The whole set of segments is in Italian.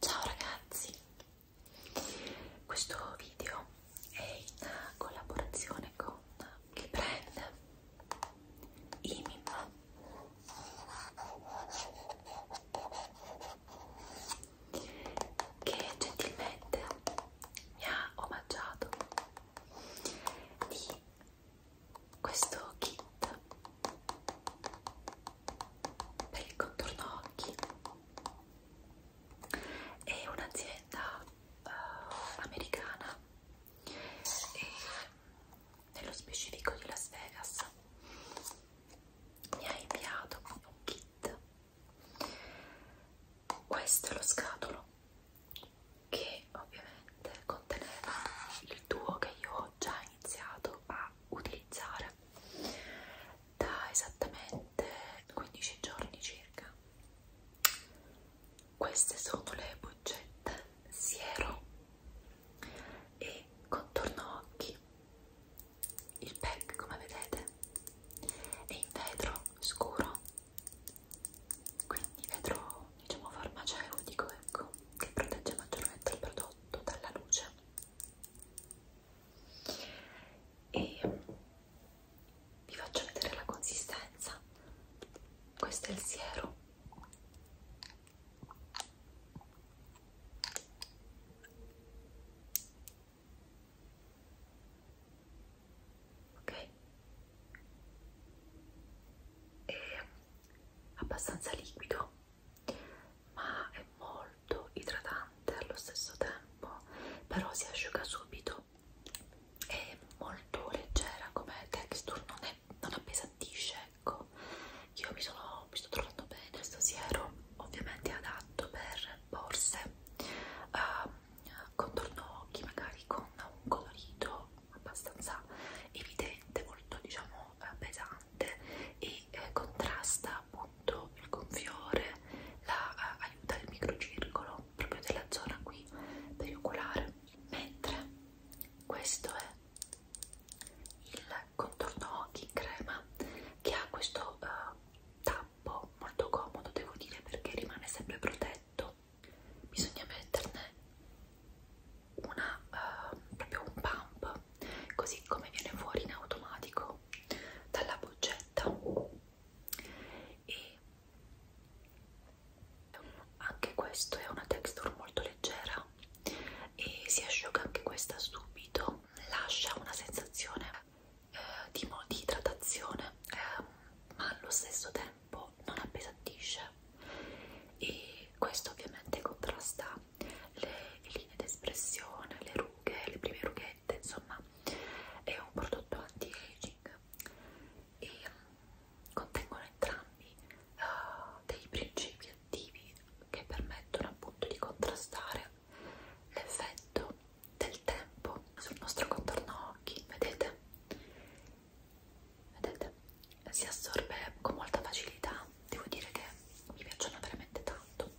Ciao ragazzi, questo video è in collaborazione con il brand Imim che gentilmente mi ha omaggiato di questo kit per il contorno occhi è un'azienda uh, americana e nello specifico di Las Vegas mi ha inviato un kit questo è lo scatolo che ovviamente conteneva il duo che io ho ho già iniziato a utilizzare da esattamente 15 giorni circa. Queste sono le boccette siero e contorno occhi. Il pack, come vedete, è in vetro scuro, quindi vetro diciamo farmaceutico, ecco, che protegge maggiormente il prodotto dalla luce e vi faccio vedere la consistenza questo è il siero ok è abbastanza liquido ma è molto idratante allo stesso tempo però si asciuga subito è molto leggera come texture non, è, non appesantisce ecco io mi, sono, mi sto trovando bene questo siero ovviamente è adatto per borse uh, ehm, contorno occhi magari con un colorito abbastanza evidente molto diciamo meno eh, pesante e eh, contrasta appunto il gonfiore, la, eh, aiuta il microcircolo proprio della zona qui perioculare. Mentre questo è il contorno occhi in crema che ha questo eh, tappo molto comodo, devo dire, perché rimane sempre protetto. Bisogna metterne una, uh, proprio un pump così come viene fuori in automatico dalla boccetta e anche questo è una texture molto leggera e si asciuga anche questa subito lascia una sensazione eh, di, di idratazione eh, ma allo stesso tempo non appesantisce e questo ovviamente contrasta le linee d'espressione, le rughe, le prime rughette, insomma è un prodotto anti-aging e mm, contengono entrambi uh, dei principi attivi che permettono appunto di contrastare l'effetto del tempo sul nostro contorno occhi, vedete? Vedete? si assorbe con molta facilità devo dire che mi piacciono veramente tanto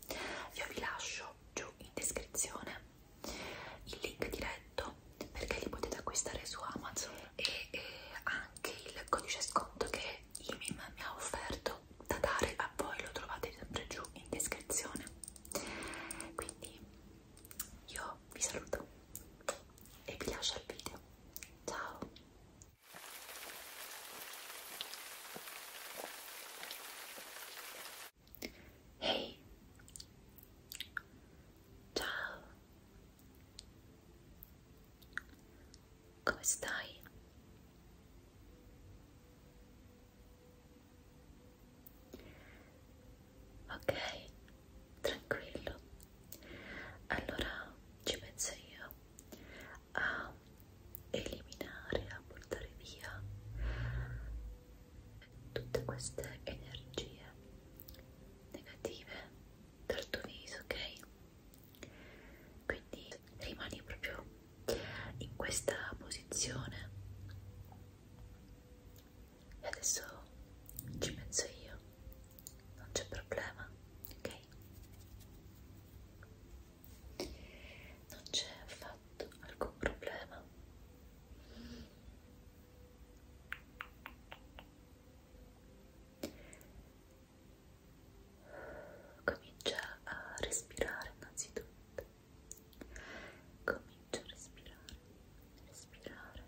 io vi lascio giù in descrizione il link diretto perché li potete acquistare su Amazon e, e anche il codice sconto che IMIM mi ha offerto da dare a voi lo trovate sempre giù in descrizione quindi io vi saluto e vi lascio al video ciao Hey. Ciao. Come stai? Ok, tranquillo. Allora ci penso io a eliminare, a portare via tutte queste energie negative dal tuo viso, ok? Quindi rimani proprio in questa posizione e adesso ci penso io non c'è problema, ok? Non c'è affatto alcun problema. Comincia a respirare innanzitutto. Comincia a respirare, respirare.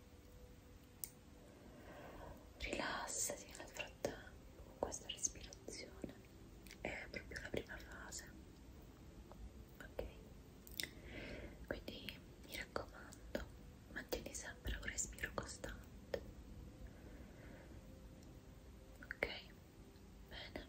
rilassati nel frattempo con questa respirazione è proprio la prima fase ok quindi mi raccomando mantieni sempre un respiro costante ok bene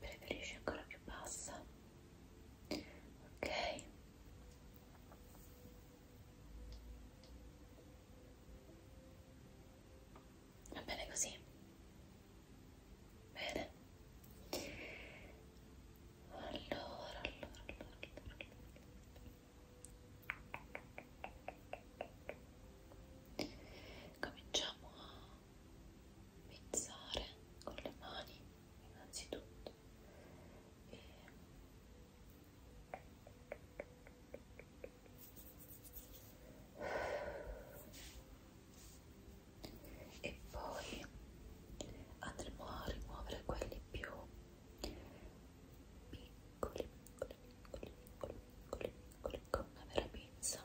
preferisci ancora più bassa ok va bene così bene allora allora, allora, allora. cominciamo a pensare con le mani innanzitutto e e poi andremo a rimuovere quelli più piccoli, piccoli, piccoli, piccoli, piccoli, piccoli con una vera pizza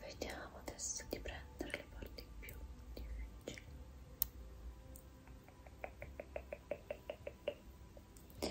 Vediamo adesso di prendere le parti più difficili. Pluck. Pluck.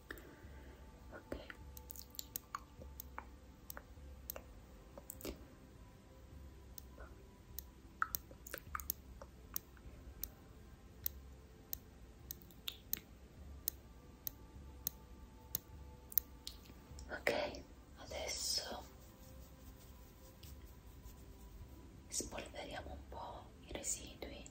ok ok adesso spolveriamo un po' i residui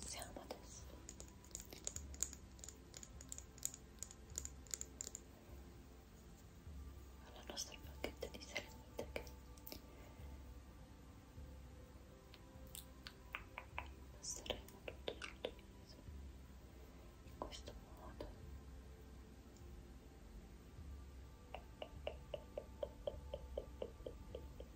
passiamo adesso alla nostra bacchetta di serenità che passeremo tutto sul tuo viso in questo modo Ecco,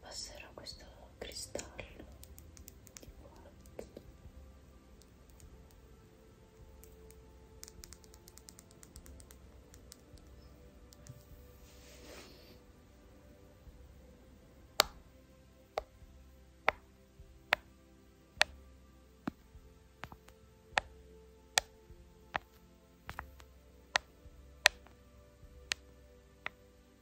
passerò questo cristallo di quarzo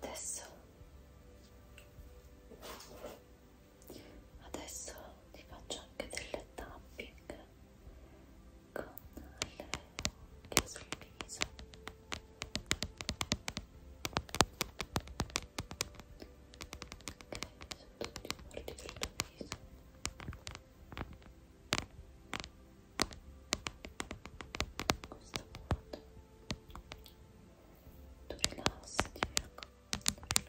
adesso adesso ti faccio anche delle tapping con le occhie sul viso ok, su tutti i bordi del tuo viso questo punto tu rilassati ecco rilassati,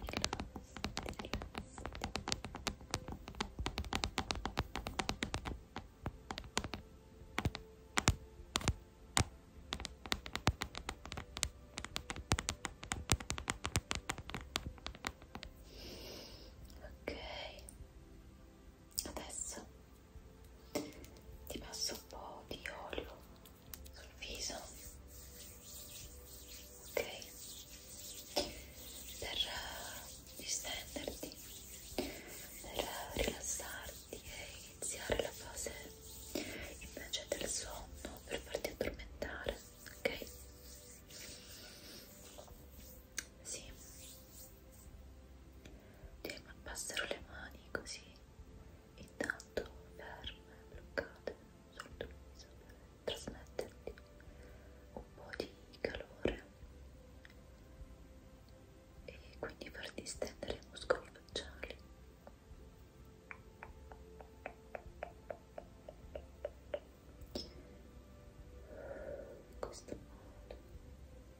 rilassati, rilassati. ok adesso ti passo un po' di olio sul viso ok per eh, distenderti per eh, rilassarti e iniziare la fase invece del sonno per farti addormentare ok sì. Devo passare le mani così, intanto ferme, bloccate sul viso per trasmetterti un po' di calore e quindi far distendere i muscoli facciali. In questo modo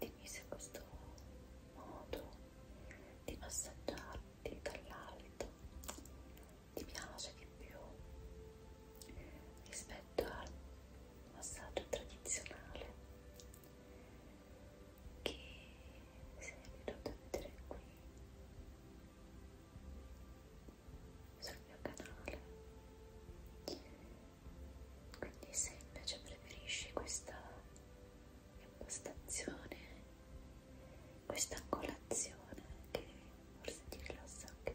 Dimmi se questo modo di massaggiarti dall'alto ti piace di più rispetto al massaggio tradizionale che sei venuto a vedere qui sul mio canale quindi se invece preferisci questa impostazione questa angolazione che forse ti rilassa anche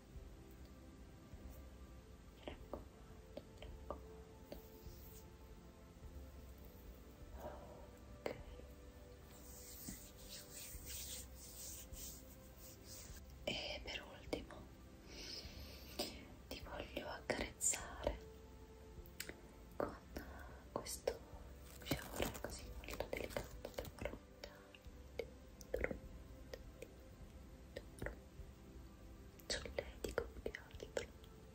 ok e per ultimo ti voglio accarezzare con questo fiore così molto delicato per prontare dentro, dentro, solletico più che altro, piacevole,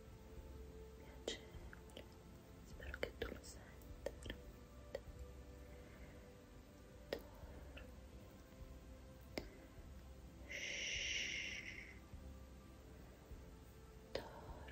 spero che tu lo senta veramente, dormi, shhh, dormi, Dormi,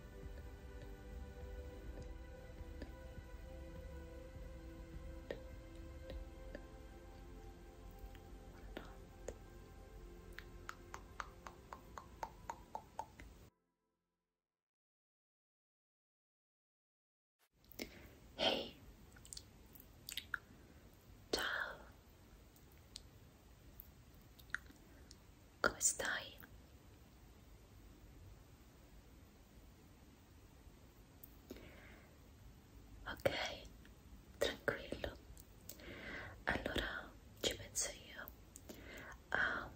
Hey. Ciao. Come stai? Ok, tranquillo. Allora ci penso io a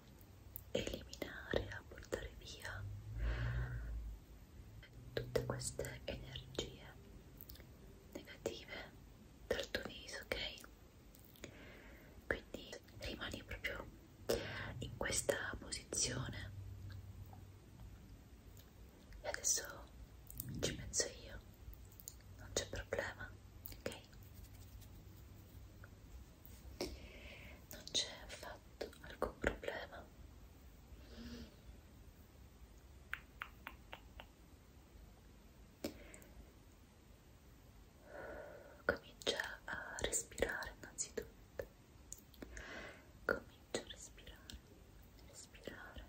eliminare, a portare via tutte queste energie negative dal tuo viso, ok? Quindi rimani proprio in questa posizione e adesso ci penso io non c'è problema ok non c'è affatto alcun problema comincia a respirare innanzitutto comincia a respirare respirare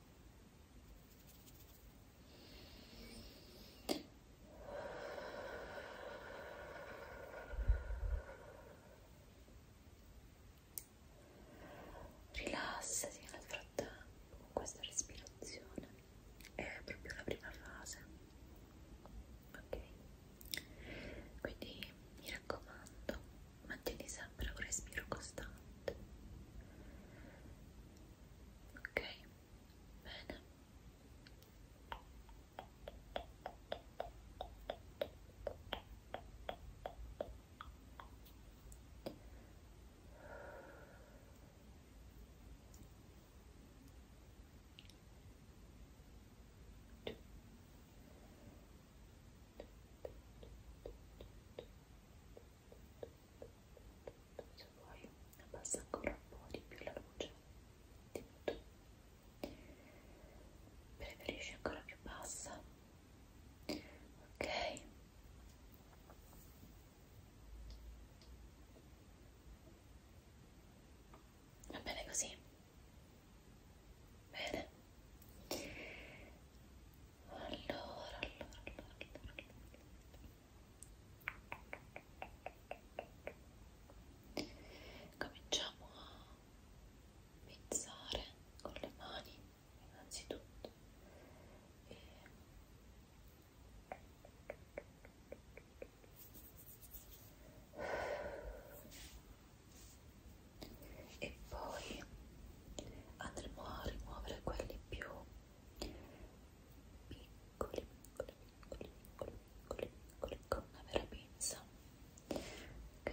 Rilassati nel frattempo con questa respirazione, è proprio la prima fase, ok? Quindi mi raccomando mantieni sempre un respiro costante ok bene se vuoi abbassa ancora un po' di più la luce di tutto preferisci ancora più bassa ok va bene così bene allora, allora, allora. cominciamo a pizzare con le mani innanzitutto e e poi andremo a rimuovere quelli più piccoli, piccoli, piccoli, piccoli, piccoli, piccoli con una vera pinza ok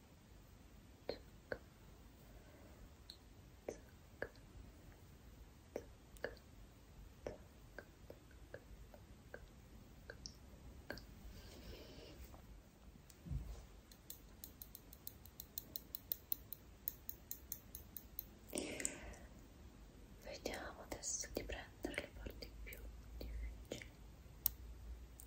Zucca. Zucca. Zucca. Vediamo adesso di prendere le parti più difficili.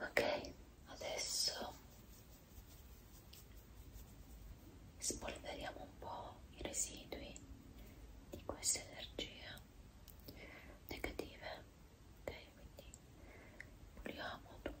ok adesso spolveriamo un po' i residui di questa energia negative ok quindi puliamo tutto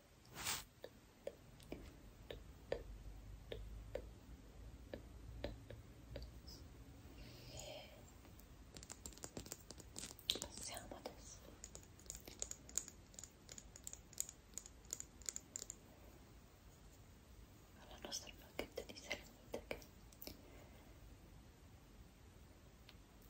Passiamo adesso alla nostra bacchetta di serenite che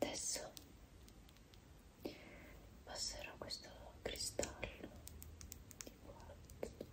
Adesso passerò questo cristallo di quarzo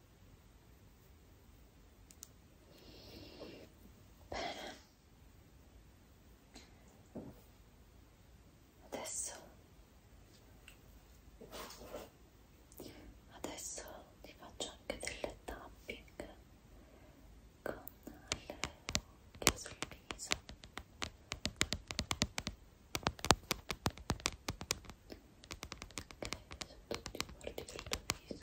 Bene. Adesso adesso ti faccio anche delle tapping con le occhie sul viso sotto tutti i bordi del tuo viso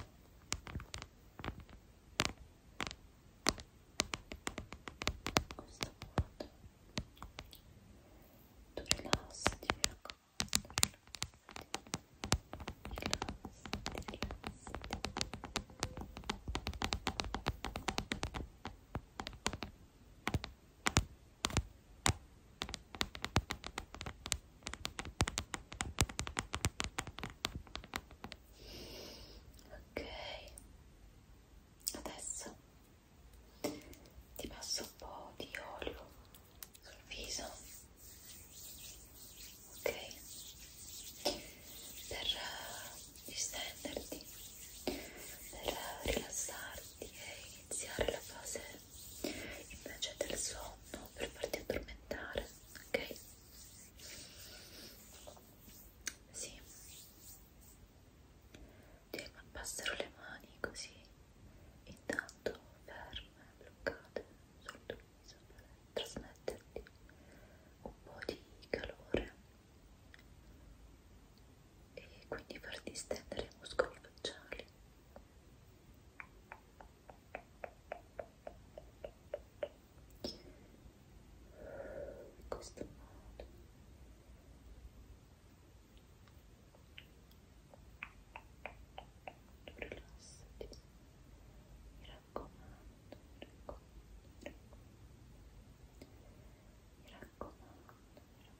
questa volta tu rilassati mi raccomando rilassati rilassati rilassati Ok, adesso ti passo un po' di olio sul viso, ok, per eh, distenderti, per eh, rilassarti e iniziare la fase te invece del sonno per farti addormentare, ok? Sì, ti passero le mani così, intanto ferme, bloccate sul tuo viso per trasmetterti un po' di calore e quindi far distendere i muscoli facciali. In questo modo. Tu rilassati, mi raccomando, mi raccomando, mi raccomando, mi raccomando.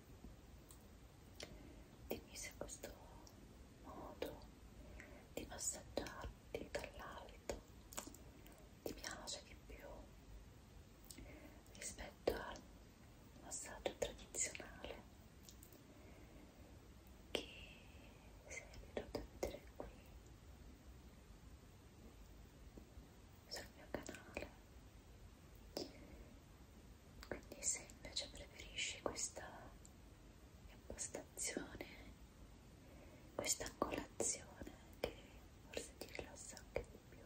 dimmi se questo modo di passeggiarti dall'alto ti piace di più rispetto al massaggio tradizionale che sei venuto a vedere qui sul mio canale quindi se invece preferisci questa impostazione questa angolazione che forse ti rilassa anche di più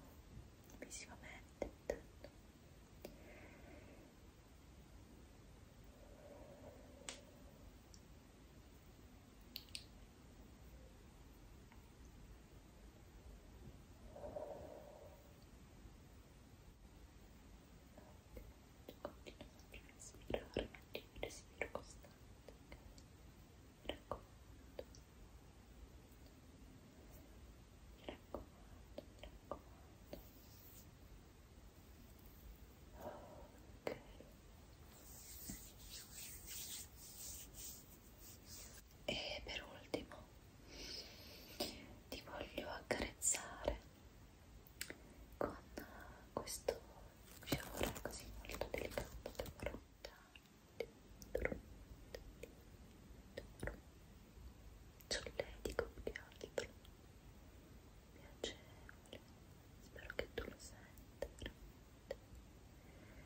visivamente intanto ok Continua sempre a respirare, mantieni il respiro costante, mi raccomando, mi raccomando, mi raccomando. Ok. E per ultimo ti voglio accarezzare con questo fiore così molto delicato però solletico più che altro piacevole spero che tu lo senta veramente dormi